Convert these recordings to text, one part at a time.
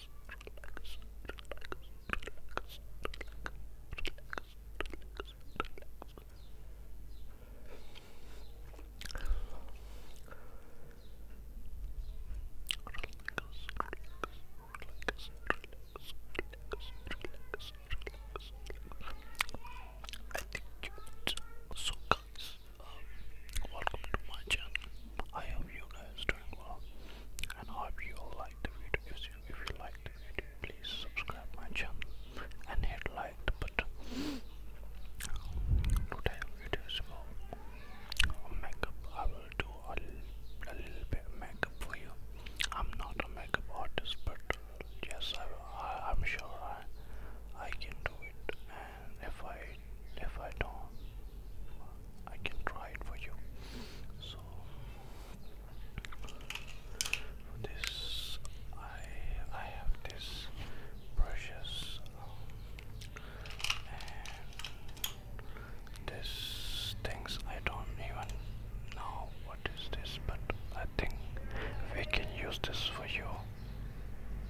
I think you would so um, welcome to my channel. I hope you guys doing well, and I hope you all like the video. If you like the video, please subscribe my channel and hit like the button. Today video makeup. I will do a little, bit makeup for you. I'm not a makeup artist, but yes, I, am sure I can do it if I if I don't I can try it for you so this I I have this brushes um, and this things I don't even know what is this but I think we can use this for you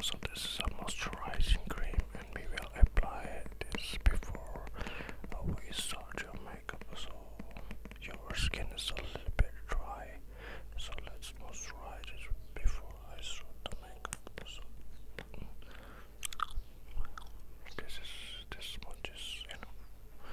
So this is a moisturizing cream and we will apply this before we start your makeup so your skin is a little bit dry so let's moisturize it before I start the makeup so this is this much is enough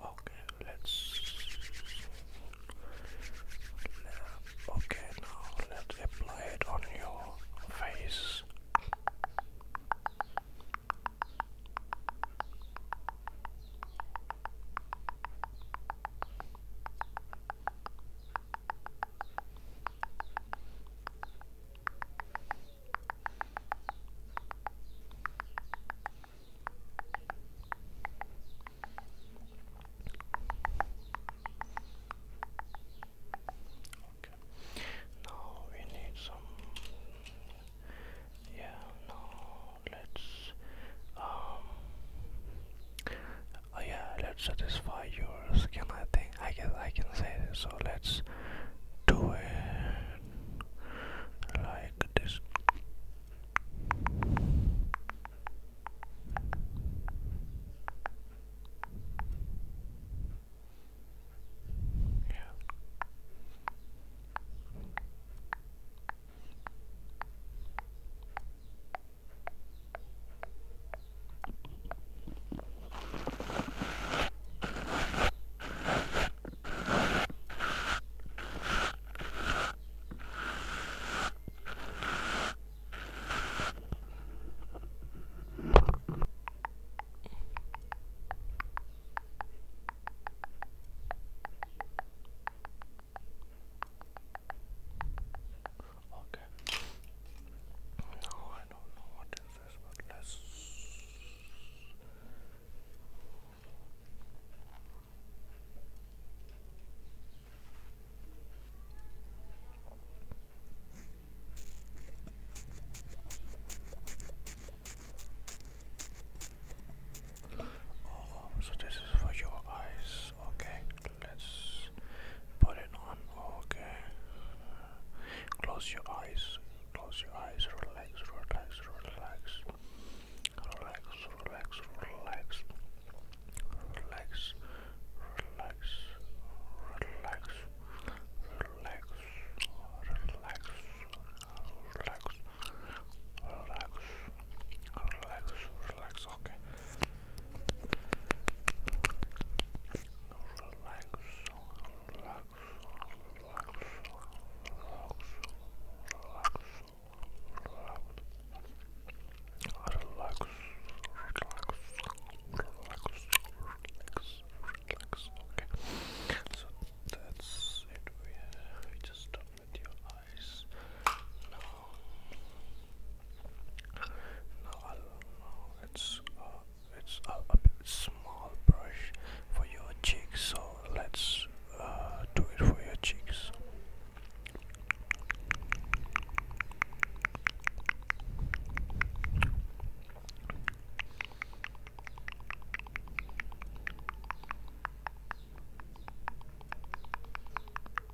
Okay, let's. Okay, now let's apply it on your face. Now we need some. Yeah. Now let's. Um, oh, yeah. Let's satisfy your skin. I think. I guess I can say So let's do it like this. Yeah. Okay. No, I don't know what is this one less. Oh, so this is for your eyes. Okay, let's put it on. Okay, Close your eyes. Close your eyes. Relax. Relax. Relax. Relax. Relax. Relax. Relax. Relax. Relax. Relax. Relax. Relax. Relax. Relax. Relax. Okay. Relax relax, okay. So that's it. We, uh, we just done with your eyes. Now, now I'll now let's uh, it's a, small brush for your cheeks so let's uh, do it for your cheeks Okay.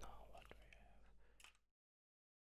Now what do we have?